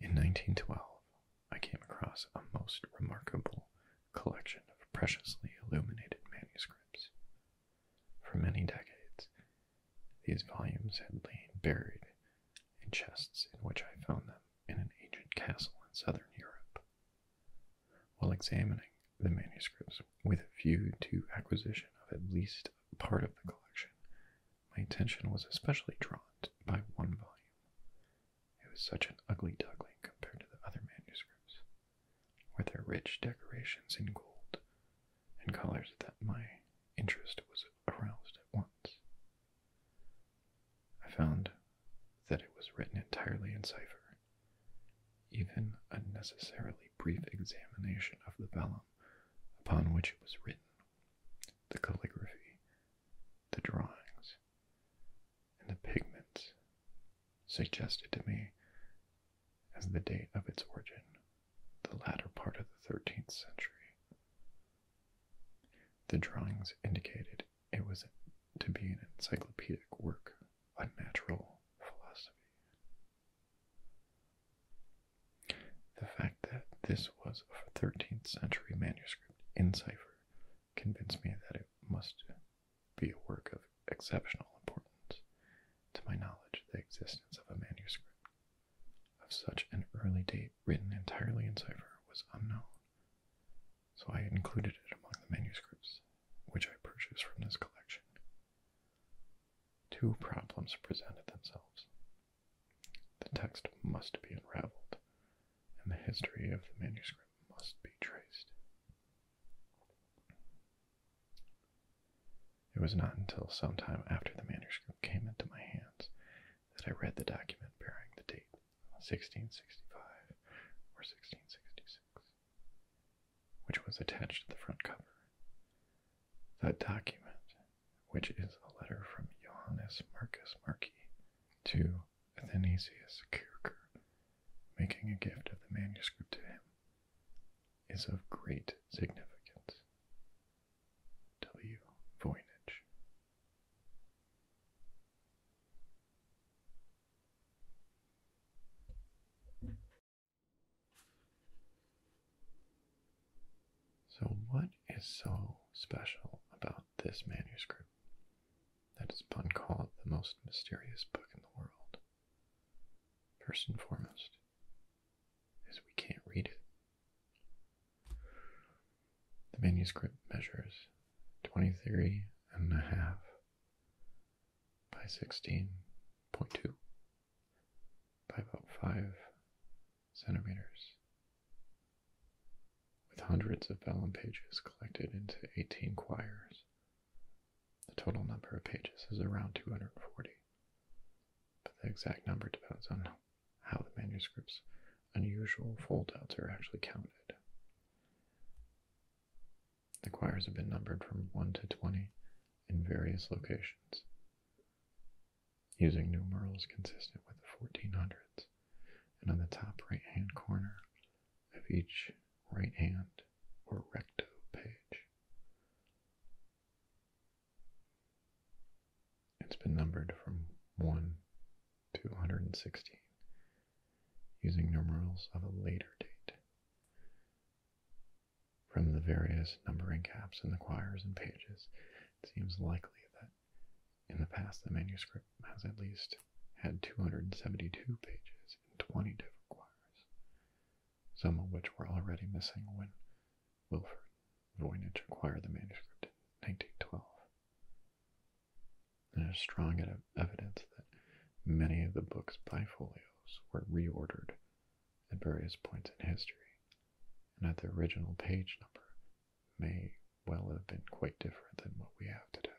In 1912, I came across a most remarkable collection of preciously illuminated manuscripts. For many decades, these volumes had lain buried in chests in which I found them in an ancient castle in southern Europe. While examining the manuscripts with a view to acquisition of at least part of the collection, my attention was especially drawn by one volume. It was such an ugly duckling compared to the other manuscripts, with their rich decorations in gold and colors, that my interest was aroused at once. I found that it was written entirely in cipher. Even a necessarily brief examination of the vellum upon which it was written the calligraphy, the drawings, and the pigments suggested to me as the date of its origin, the latter part of the 13th century. The drawings indicated it was to be an encyclopedic work on natural philosophy. The fact that this was a 13th century manuscript in cipher convinced me that it must be a work of exceptional importance. To my knowledge, the existence of a manuscript of such an early date written entirely in cipher was unknown, so I included it among the manuscripts which I purchased from this collection. Two problems presented themselves. The text must be unraveled, and the history of the manuscript must be traced. It was not until some time after the manuscript came into my hands that I read the document bearing the date 1665 or 1666, which was attached to the front cover. That document which is a letter from Johannes Marcus Marci to Athanasius Kirker, making a gift of the manuscript to him, is of great significance. W. Voynich. So, what is so special about this manuscript that it's been called the most mysterious book in the world? First and foremost, is we can't read it. The manuscript measures 23 and a half by 16.2 by about 5 centimeters, with hundreds of vellum pages collected into 18 quires. The total number of pages is around 240, but the exact number depends on how the manuscript's unusual foldouts are actually counted. The choirs have been numbered from 1 to 20 in various locations using numerals consistent with the 1400s, and on the top right hand corner of each right hand or recto page. It's been numbered from 1 to 116 using numerals of a later date from the various numbering caps in the quires and pages, it seems likely that in the past the manuscript has at least had 272 pages in 20 different quires, some of which were already missing when Wilfrid Voynich acquired the manuscript in 1912. There's strong evidence that many of the book's bifolios were reordered at various points in history, and that the original page number may well it would have been quite different than what we have today.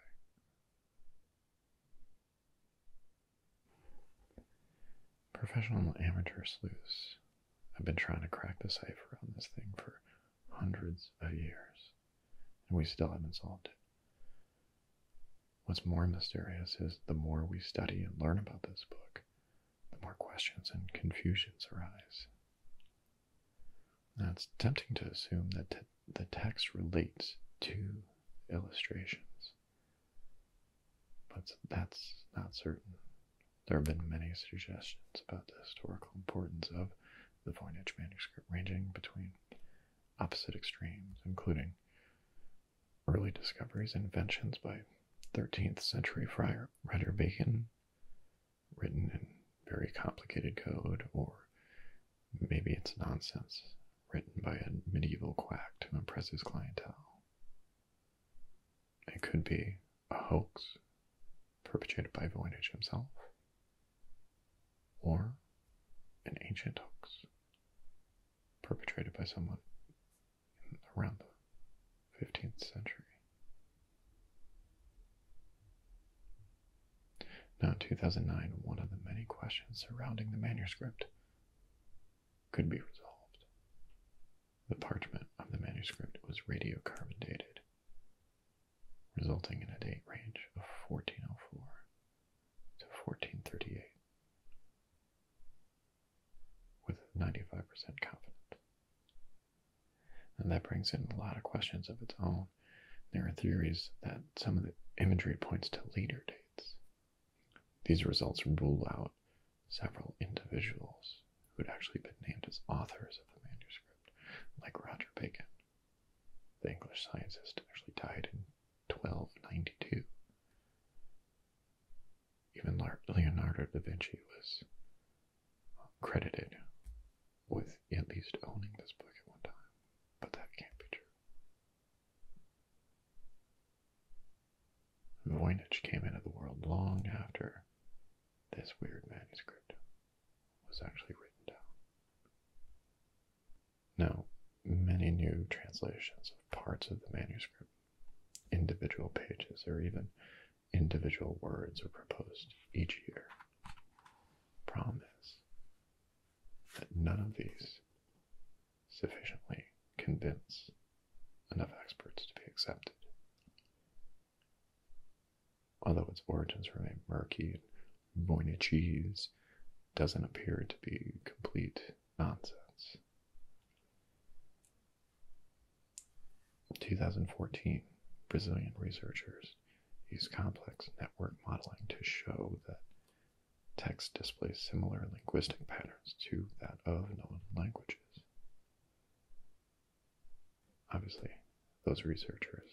Professional and amateur sleuths have been trying to crack the cipher on this thing for hundreds of years, and we still haven't solved it. What's more mysterious is the more we study and learn about this book, the more questions and confusions arise. Now it's tempting to assume that the text relates to illustrations, but that's not certain. There have been many suggestions about the historical importance of the Voynich manuscript, ranging between opposite extremes, including early discoveries and inventions by 13th century friar Rider Bacon written in very complicated code, or maybe it's nonsense written by a medieval quack to impress his clientele. It could be a hoax perpetrated by Voynich himself, or an ancient hoax perpetrated by someone around the 15th century. Now, in 2009, one of the many questions surrounding the manuscript could be resolved. The parchment of the manuscript was radiocarbon dated, resulting in a date range of 1404 to 1438, with 95% confidence and that brings in a lot of questions of its own. There are theories that some of the imagery points to later dates. These results rule out several individuals who had actually been named as authors of the manuscript, like Roger Bacon. The English scientist actually died in 1292. Even Leonardo da Vinci was credited with at least owning this book at one time, but that can't be true. Voynich came into the world long after this weird manuscript was actually written down. Now, many new translations of parts of the manuscript, individual pages, or even individual words are proposed each year. Problem is that none of these sufficiently convince enough experts to be accepted. Although its origins remain murky, Voynichese doesn't appear to be complete nonsense. 2014, Brazilian researchers used complex network modeling to show that text displays similar linguistic patterns to that of known languages. Obviously, those researchers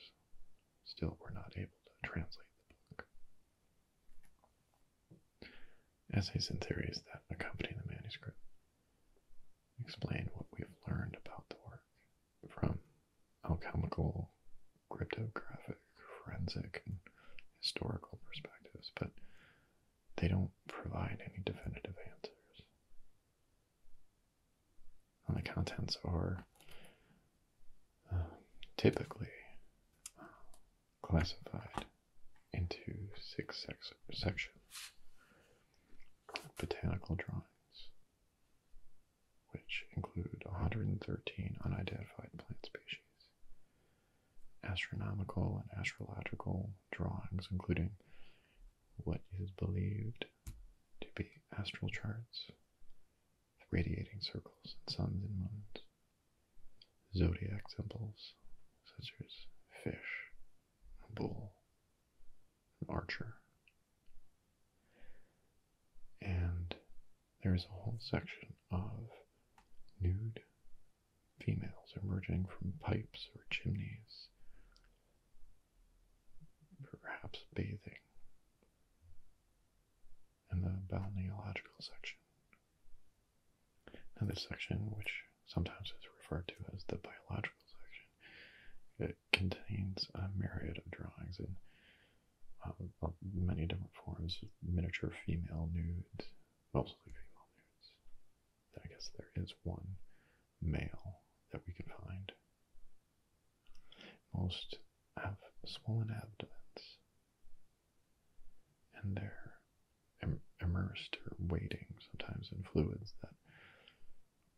still were not able to translate the book. Essays and theories that accompany the manuscript explain what we've learned about the work from alchemical, cryptographic, forensic, and historical perspectives, but they don't provide any definitive answers. And the contents are um, typically classified into six sections botanical drawings, which include 113 unidentified plant species. Astronomical and astrological drawings, including what is believed to be astral charts, radiating circles and suns and moons, zodiac symbols such as fish, bull, an archer. And there is a whole section of nude females emerging from pipes or chimneys, perhaps bathing. And the biological section. and this section, which sometimes is referred to as the biological section, contains a myriad of drawings in um, many different forms miniature female nudes, mostly female nudes. I guess there is one male that we can find. Most have swollen abdomens, and they're immersed or waiting sometimes in fluids that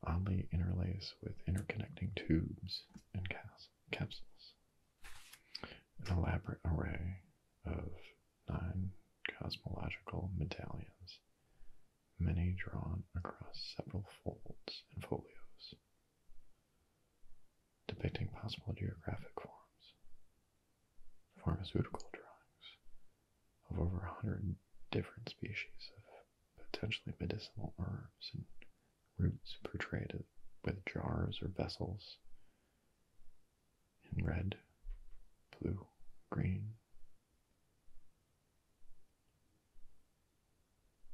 oddly interlaced with interconnecting tubes and capsules. An elaborate array of nine cosmological medallions, many drawn across several folds and folios, depicting possible geographic forms, pharmaceutical drawings of over a hundred different species of potentially medicinal herbs and roots portrayed with jars or vessels in red, blue, green.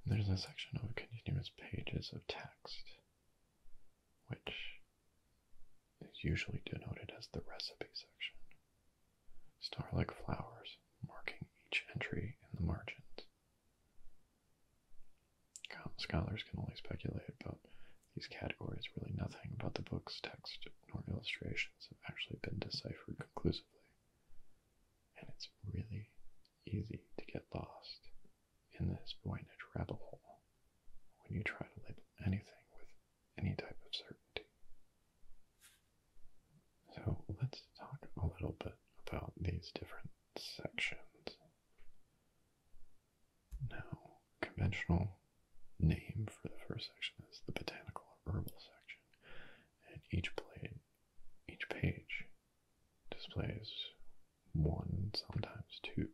there's a section of continuous pages of text, which is usually denoted as the recipe section star-like flowers marking each entry in the margins. Scholars can only speculate about these categories. Really, nothing about the book's text nor illustrations have actually been deciphered conclusively, and it's really easy to get lost in this Voynich rabbit hole when you try to label anything with any type of certainty. So let's talk a little bit about these different sections. Now, conventional name for the first section is the botanical and herbal section, and each blade, each page displays one, sometimes two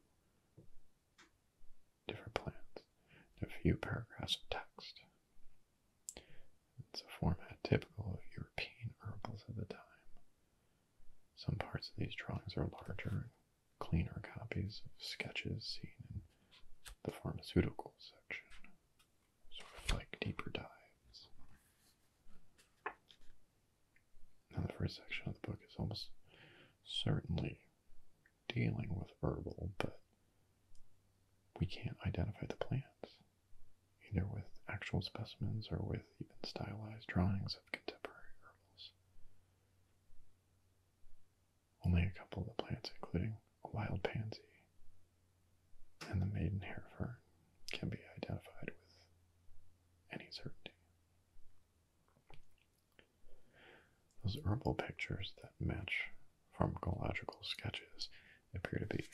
different plants, and a few paragraphs of text it's a format typical of European herbals of the time. Some parts of these drawings are larger and cleaner copies of sketches seen in the pharmaceutical section, sort of like deeper dives. Now, the first section of the book is almost certainly dealing with herbal, but we can't identify the plants either with actual specimens or with even stylized drawings of contemporary herbs, Only a couple of the plants, including a wild pansy and the maiden hair fern, can be identified with any certainty. Those herbal pictures that match pharmacological sketches appear to be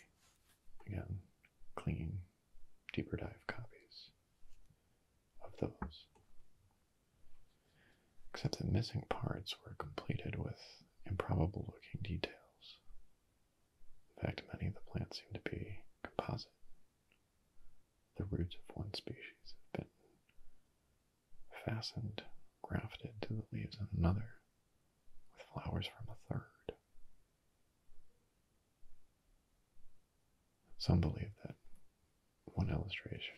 Again, clean, deeper dive copies of those. Except that missing parts were completed with improbable looking details. In fact, many of the plants seem to be composite. The roots of one species have been fastened, grafted to the leaves of another, with flowers from a third. Some believe that one illustration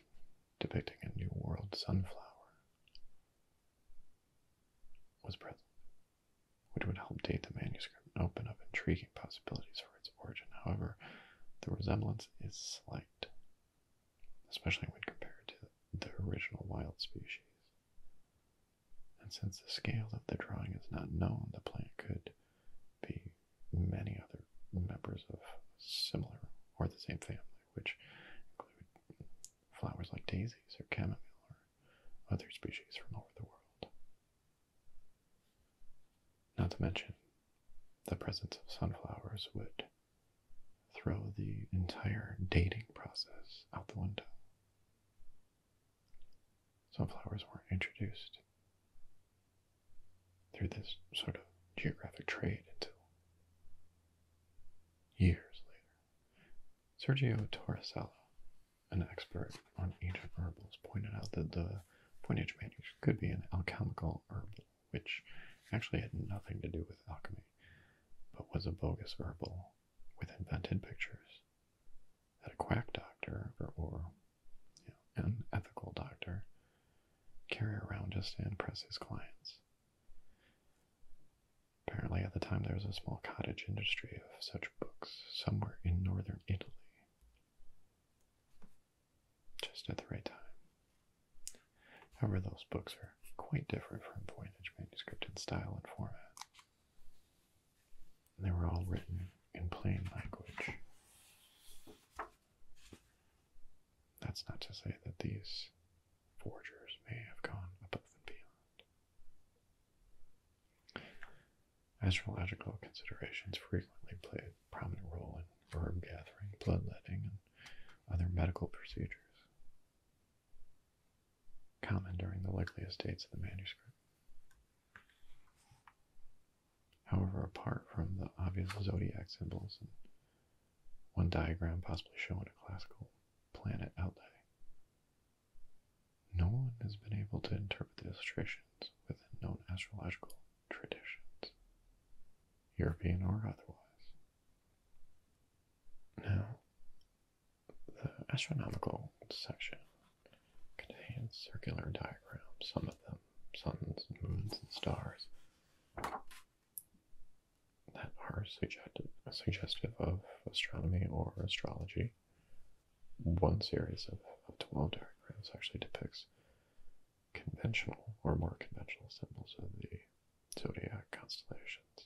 depicting a New World sunflower was present, which would help date the manuscript and open up intriguing possibilities for its origin. However, the resemblance is slight, especially when compared to the original wild species. And since the scale of the drawing is not known, the plant could be many other members of similar or the same family, which include flowers like daisies or chamomile or other species from over the world. Not to mention, the presence of sunflowers would throw the entire dating process out the window. Sunflowers were not introduced through this sort of geographic trade until years later. Sergio Torresella, an expert on ancient herbals, pointed out that the Pointage manuscript could be an alchemical herbal, which actually had nothing to do with alchemy, but was a bogus herbal with invented pictures that a quack doctor or, an ethical doctor carry around just to impress his clients. Apparently, at the time, there was a small cottage industry of such books somewhere in northern Italy. Just at the right time. However, those books are quite different from Voynich manuscript in style and format. They were all written in plain language. That's not to say that these forgers may have gone above and beyond. Astrological considerations frequently play a prominent role in herb gathering, bloodletting, and other medical procedures common during the likeliest dates of the manuscript. However, apart from the obvious zodiac symbols and one diagram possibly showing a classical planet outlay, no one has been able to interpret the illustrations within known astrological traditions, European or otherwise. Now, the astronomical section contains circular diagrams, some of them suns, moons, and stars, that are suggestive, suggestive of astronomy or astrology. One series of, of 12 diagrams actually depicts conventional or more conventional symbols of the zodiac constellations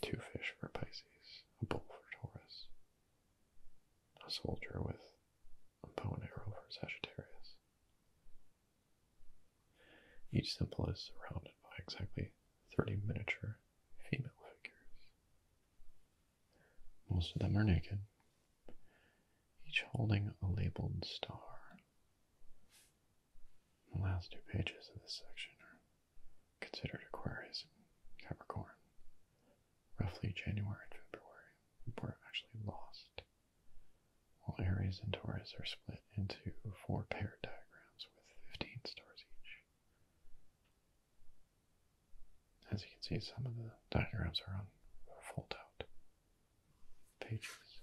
two fish for Pisces, a bull for Taurus, a soldier with a bow and arrow for Sagittarius. Each symbol is surrounded by exactly 30 miniature female figures. Most of them are naked, each holding a labeled star. The last two pages of this section are considered Aquarius Capricorn, roughly January and February, were actually lost, while Aries and Taurus are split into four pair diagrams with 15 stars each. As you can see, some of the diagrams are on fold out pages.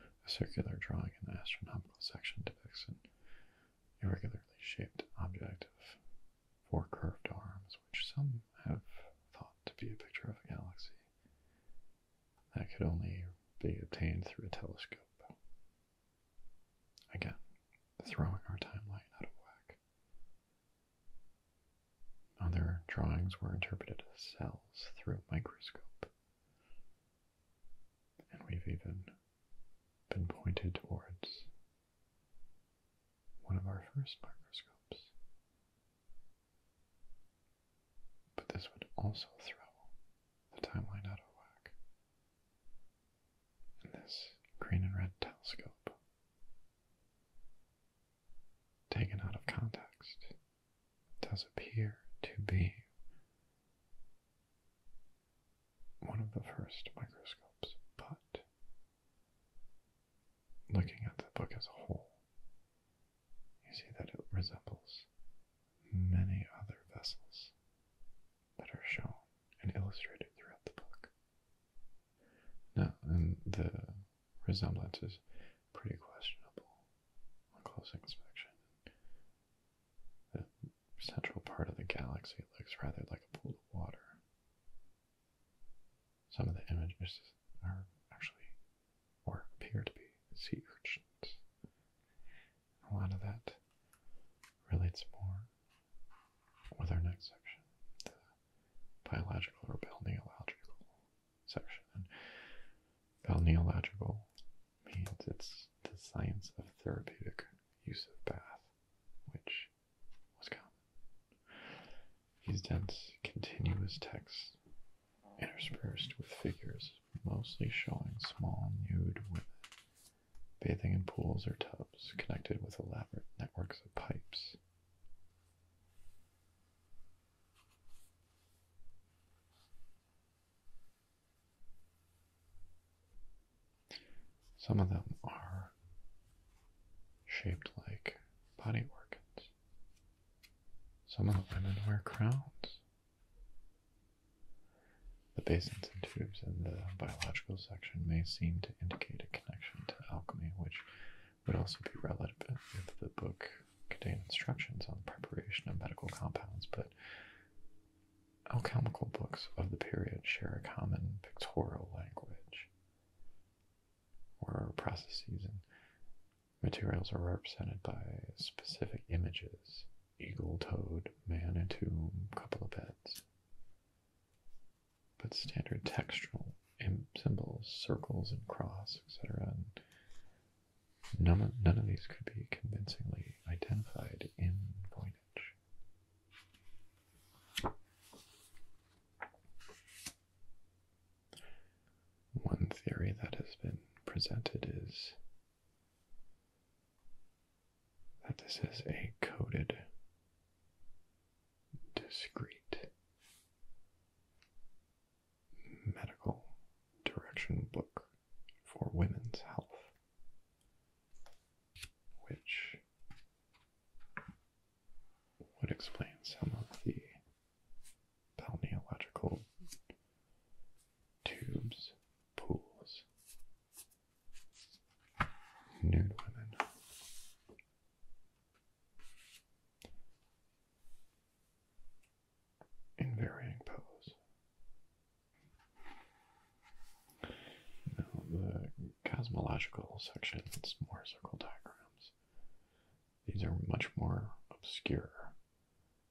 A circular drawing in the astronomical section depicts an irregularly shaped object of four curved arms, which some have thought to be a picture of a galaxy that could only be obtained through a telescope. Again, throwing our timeline out of whack. Other drawings were interpreted as cells through a microscope. And we've even been pointed towards one of our first microscopes. But this would also throw the timeline out of whack. And this green and red telescope, taken out of context, does appear to be one of the first microscopes, but looking at the book as a whole, you see that it resembles many other vessels that are shown and illustrated throughout the book. Now, and the resemblance is pretty questionable a close inspection. The central part of the galaxy looks rather like a pool of water. Some of the images are actually, or appear to be, sea urchins. A lot of that relates more with our next section, the biological or balneological section. Balneological means it's the science of therapeutic use of bath, which was common. These dense, continuous texts, interspersed with figures mostly showing small nude women bathing in pools or tubs connected with elaborate networks of pipes. Some of them are shaped like body organs. Some of the women wear crowns. The basins and tubes in the biological section may seem to indicate a connection to alchemy, which would also be relevant if the book contained instructions on the preparation of medical compounds, but Alchemical books of the period share a common pictorial language where processes and materials are represented by specific images eagle, toad, man and tomb, couple of beds. But standard textual symbols, circles and cross, etc., None of, these could be convincingly identified in Voynich. One theory that has been presented is that this is a coded, discrete medical direction book for women's health, which would explain some of the balneological tubes, pools, nude women in varying pose. Now, the cosmological section is more circle diagrams. These are much more obscure.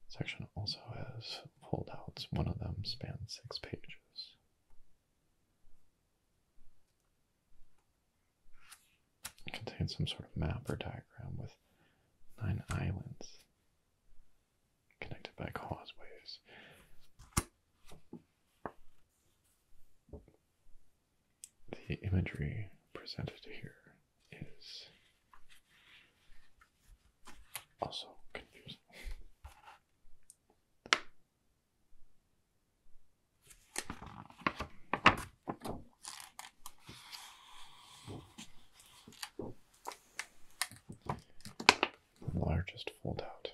Section also has foldouts. One of them spans six pages. contains some sort of map or diagram with nine islands connected by causeways. The imagery presented here is also confusing largest foldout.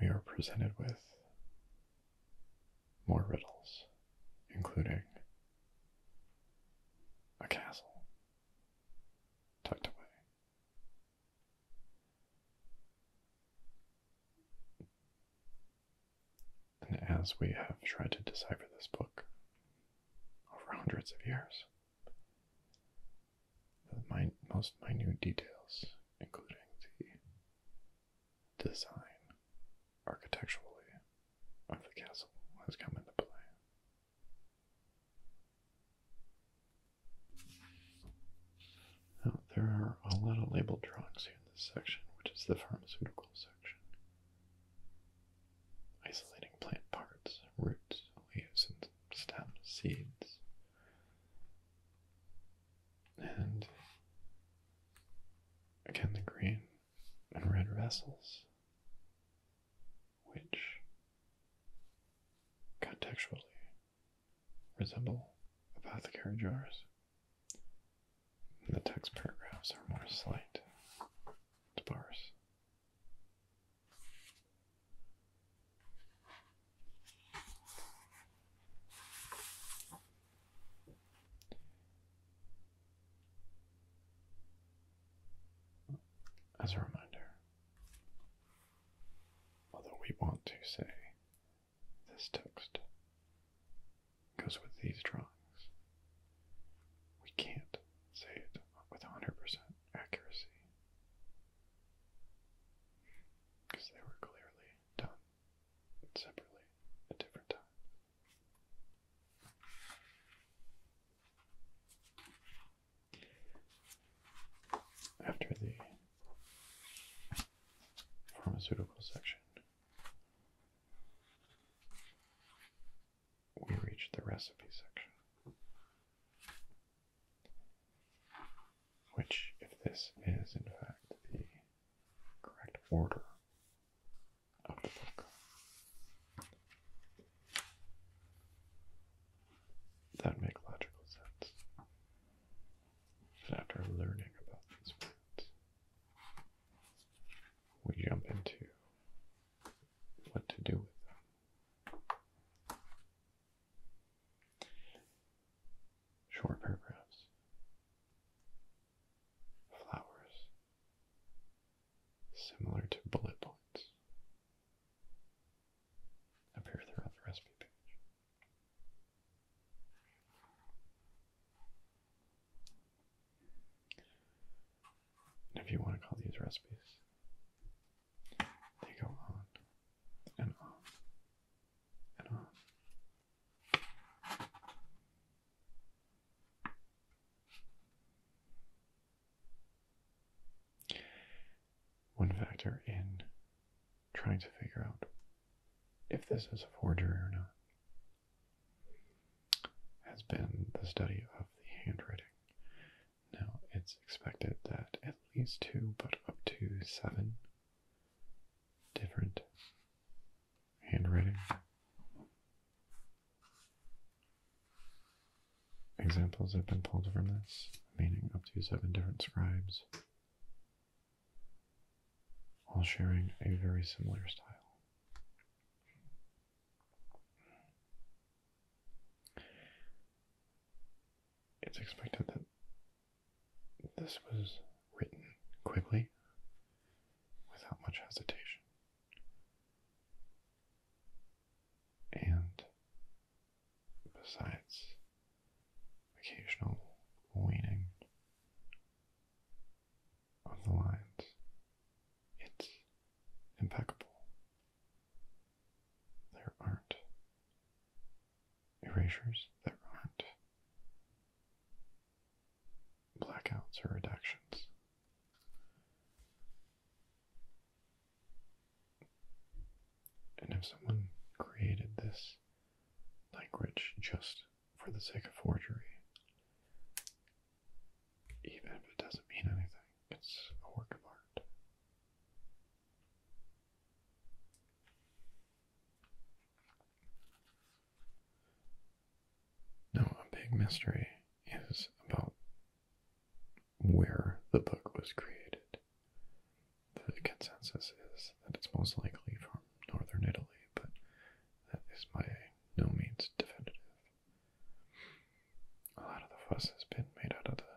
We are presented with more riddles, including a castle tucked away. And as we have tried to decipher this book over hundreds of years, the most minute details, including the design architecturally of the castle, has come into play. Now, there are a lot of label drawings here in this section, which is the pharmaceuticals. Isolating plant parts, roots, leaves, and stems, seeds. And again, the green and red vessels, which contextually resemble apothecary jars. The text paragraphs are more slight bars. As a reminder, although we want to say this text goes with these drawings. We can't say it with 100% accuracy because they were clearly done separately at different times. After the pharmaceutical section, we reach the recipe section. Which, if this is in fact the correct order of the book, that makes logical sense. after learning about these plants, we jump into what to do with them. Short paragraphs, flowers, similar to bullet points, appear throughout the recipe page. And if you want to call these recipes, they go on and on and on. One factor in trying to figure out if this is a forgery or not has been the study of the handwriting. Now, it's expected that at least two, but up to seven different handwriting examples have been pulled from this, meaning up to seven different scribes while sharing a very similar style. It's expected that this was written quickly without much hesitation. And besides occasional weaning, of the lines. It's impeccable. There aren't erasures, that aren't blackouts or redactions. And if someone created this language just for the sake of forgery, even if it doesn't mean anything. It's a work of art. Now, a big mystery is about where the book was created. The consensus is that it's most likely from northern Italy, but that is by no means definitive. A lot of the fuss has been made out of the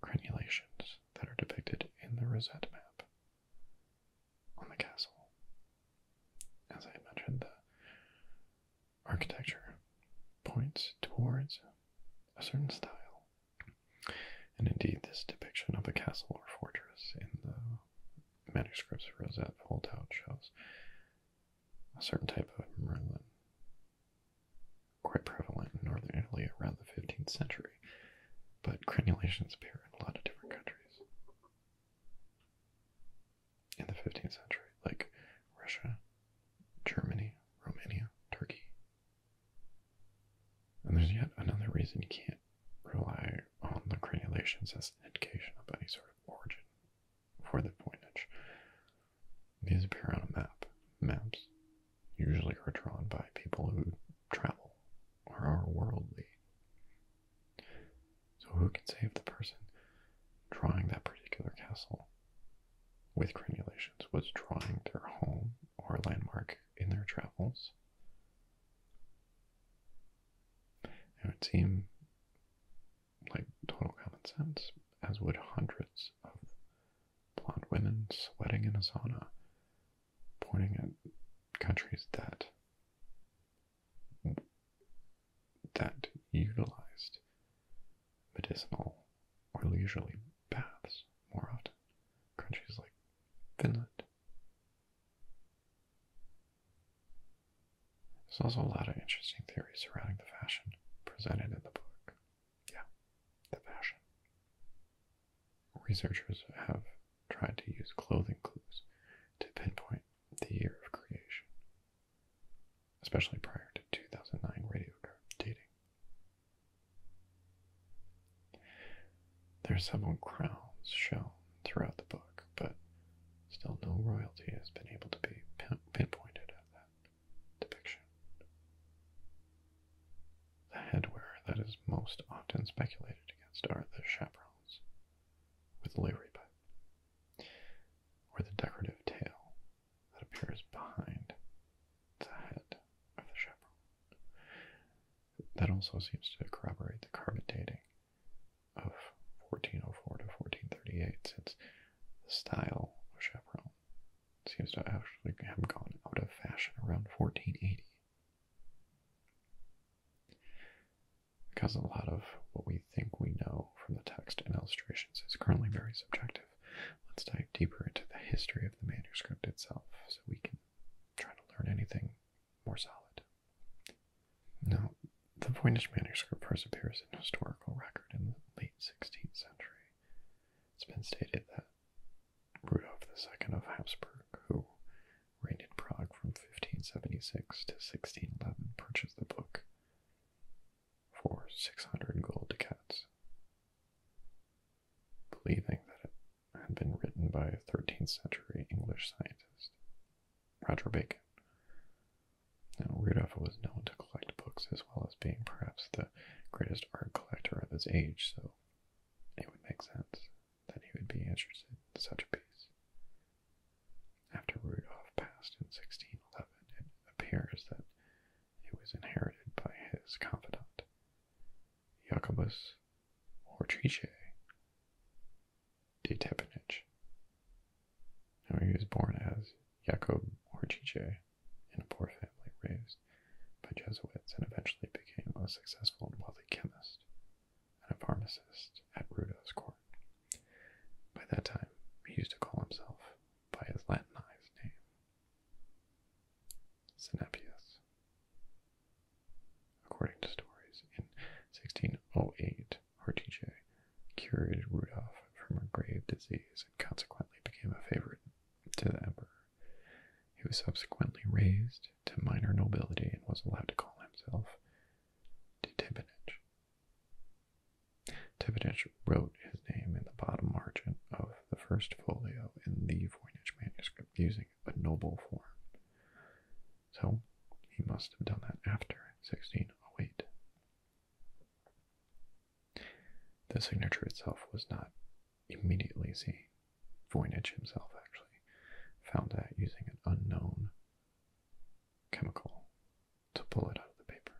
granulations that are depicted in the Rosette map on the castle. As I mentioned, the architecture points towards a certain style. And indeed, this depiction of a castle or fortress in the manuscripts of Rosette Voltaut shows a certain type of Merlin quite prevalent in northern Italy around the 15th century, but crenulations appear in a lot of different countries. In the 15th century, like Russia, Germany, Romania, Turkey. And there's yet another reason you can't rely on the granulations as an indication of any sort of origin for the pointage. These appear on a map. Maps usually are drawn by people who travel or are worldly. So, who can say if the person drawing that particular castle with granulations was drawing their home or landmark in their travels? It would seem like total common sense, as would hundreds of blonde women sweating in a sauna, pointing at countries that that utilized medicinal or leisurely baths more often. Countries like Finland, there's also a lot of interesting theories surrounding the fashion presented in the book. Yeah, the fashion. Researchers have tried to use clothing clues to pinpoint the year of creation, especially prior to 2009 radiocarbon dating. There's several crowns shown throughout the book, but still no royalty has been able to be pinpointed at that depiction. The headwear that is most often speculated against are the chaperons with the livery pipe, or the decorative tail that appears behind the head of the chaperone. That also seems to corroborate the carbon dating of 1404 to 1438, since the style of chaperon seems to actually have gone out of fashion around 1480. Because a lot of what we think we know from the text and illustrations is currently very subjective, let's dive deeper into the history of the manuscript itself so we can try to learn anything more solid. Now, the Voynich manuscript first appears in historical record in the late 16th century. It's been stated that Rudolf II of Habsburg, who reigned in Prague from 1576 to 1611, purchased the book for 600 gold ducats, believing that it had been written by a 13th century English scientist. Roger Bacon. Rudolph was known to collect books as well as being perhaps the greatest art collector of his age, so it would make sense that he would be interested in such a piece. After Rudolph passed in 1611, it appears that it was inherited by his confidant, Jacobus Hortrice, de Tepanich. Now he was born as Jacob Horchiche in a poor family raised by Jesuits and eventually became a successful and wealthy chemist and a pharmacist at Rudo's court. By that time, he used to call himself by his Latinized name, Senepius. According to stories, in 1608, Hortensia cured Rudolph from a grave disease and consequently became a favorite to the emperor. He was subsequently raised to minor nobility and was allowed to call himself de Tibenich. Tibenich wrote his name in the bottom margin of the first folio in the Voynich manuscript using a noble form. So he must have done that after 1608. The signature itself was not immediately seen. Voynich himself actually found that using an unknown chemical to pull it out of the paper.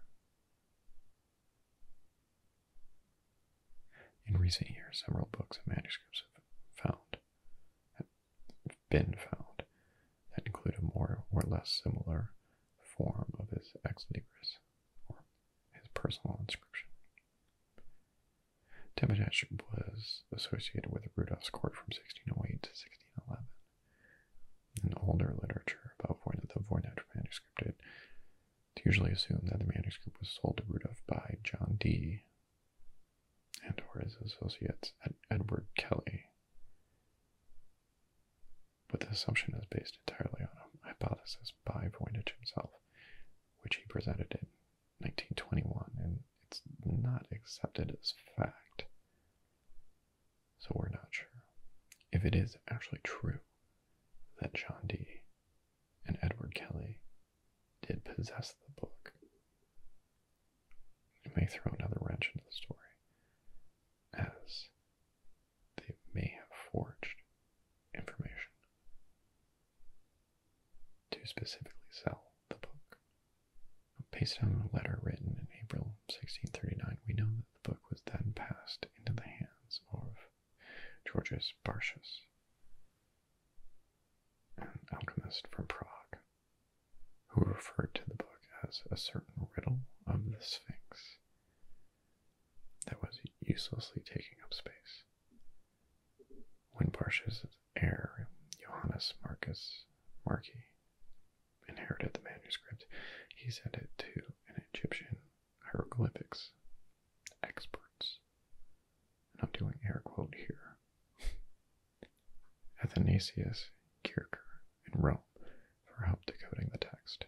In recent years, several books and manuscripts have found been found that include a more or less similar form of his ex libris, or his personal inscription. Temesich was associated with Rudolph's court from 1608 to 1611. In older literature about the Voynich manuscript, it it's usually assumed that the manuscript was sold to Rudolph by John Dee and or his associates at Edward Kelly but the assumption is based entirely on a hypothesis by Voynich himself, which he presented in 1921, and it's not accepted as fact. So we're not sure if it is actually true that John Dee and Edward Kelly did possess the book. It may throw another wrench into the story, as they may have forged information to specifically sell the book. Based on a letter written in April 1639, we know that the book was then passed into the hands of Georgius Bartius, an alchemist from Prague who referred to the book as a certain riddle of the Sphinx that was uselessly taking up space. When Barsh's heir, Johannes Marcus Markey inherited the manuscript, he sent it to an Egyptian hieroglyphics experts. And I'm doing air quote here. Athanasius Kircher in Rome for help decoding the text.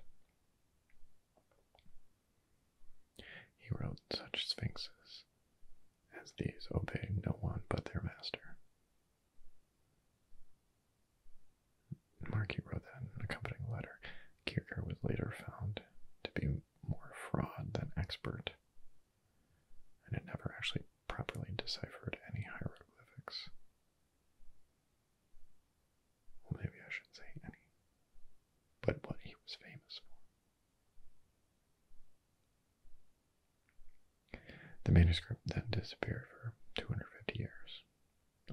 He wrote such sphinxes as these obey no one but their master. Markey wrote that in an accompanying letter. Kierkegaard was later found to be more fraud than expert, and it never actually properly deciphered any hieroglyphics. Well, maybe I shouldn't say any, but what he was famous for. The manuscript then disappeared for 250 years,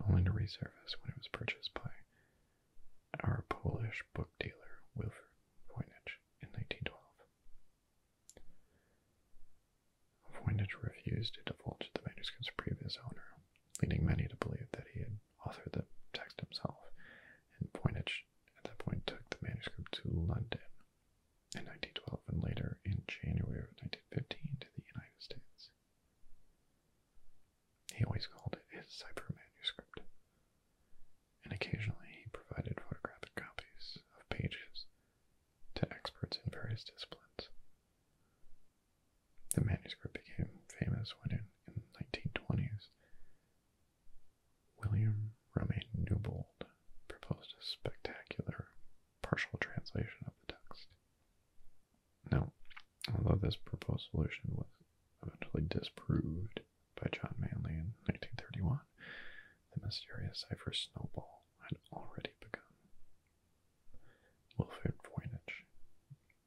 only to resurface when it was purchased by our Polish book dealer Wilfred Voynich in 1912. Voynich refused to divulge the manuscript's previous owner, leading many to believe that he had authored the text himself, and Voynich at that point took the manuscript to London in 1912 and later in January of 1915 to the United States. He always called it his cipher manuscript, and occasionally he provided photographic copies of pages to experts in various disciplines. The manuscript became famous when, in, the 1920s, William Romaine Newbold proposed a spectacular partial translation of the text. Now, although this proposed solution was eventually disproved by John Manley in 1931, the mysterious cipher Snowball had already begun. Wilfrid Voynich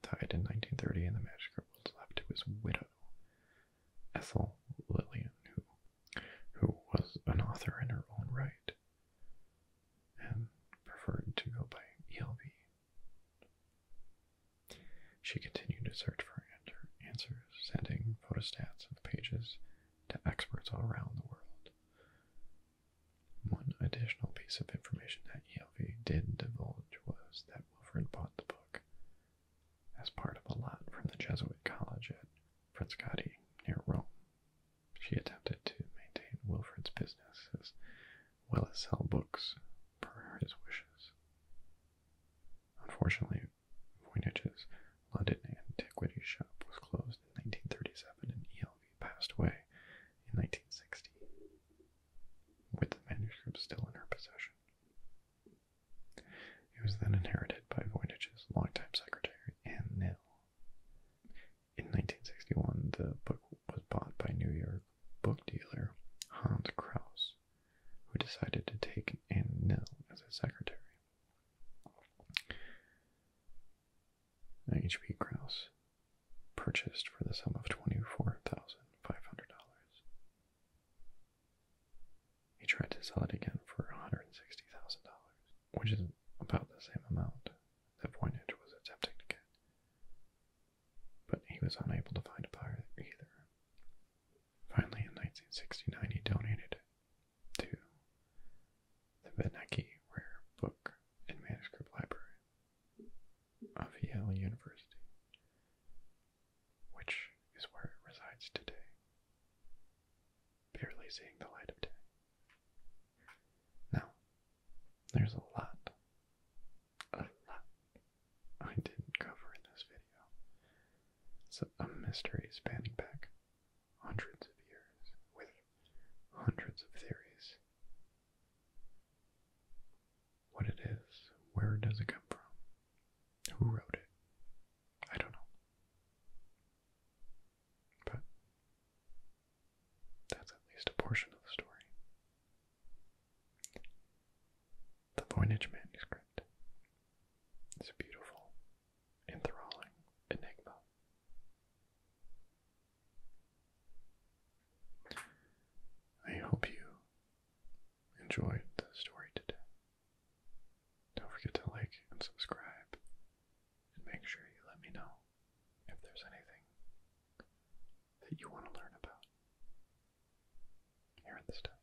died in 1930 and the manuscript was left to his widow, Ethel Lillian, who, who was an author in her own right and preferred to go by ELV. She continued to search for answers, sending photostats of pages to experts all around the world. One additional piece of information that ELV did divulge was that Wilfrid bought the book as part of a lot from the Jesuit college at Frascati near Rome. She attempted to maintain Wilfrid's business as well as sell books per his wishes. Unfortunately, Voynich's London Antiquities Shop was closed in 1937 and ELV passed away in 1960, with the manuscript still in her possession. It was then inherited by Voynich's longtime secretary, Anne Nil. In 1961, the book was bought by New York book dealer Hans Kraus, who decided to take Anne Nil as his secretary. H.P. Krause, purchased for the sum of $24,500. He tried to sell it again for $160,000, which is about the same amount that Voynich was attempting to get, but he was unable to find a buyer either. Finally, in 1969, he donated it to the Benaki Rare Book and Manuscript Library of Yale University, which is where it resides today, barely seeing the light of day. Now, there's a lot, a lot I didn't cover in this video. It's a mystery spanning back hundreds of years with hundreds of theories. What it is, where does it come from, who wrote it, I don't know. But that's at least a portion of the story. The Voynich manuscript It's a beautiful, enthralling enigma I hope you enjoyed the story today. Don't forget to like and subscribe, and make sure you let me know if there's anything that you want to learn about here at this time.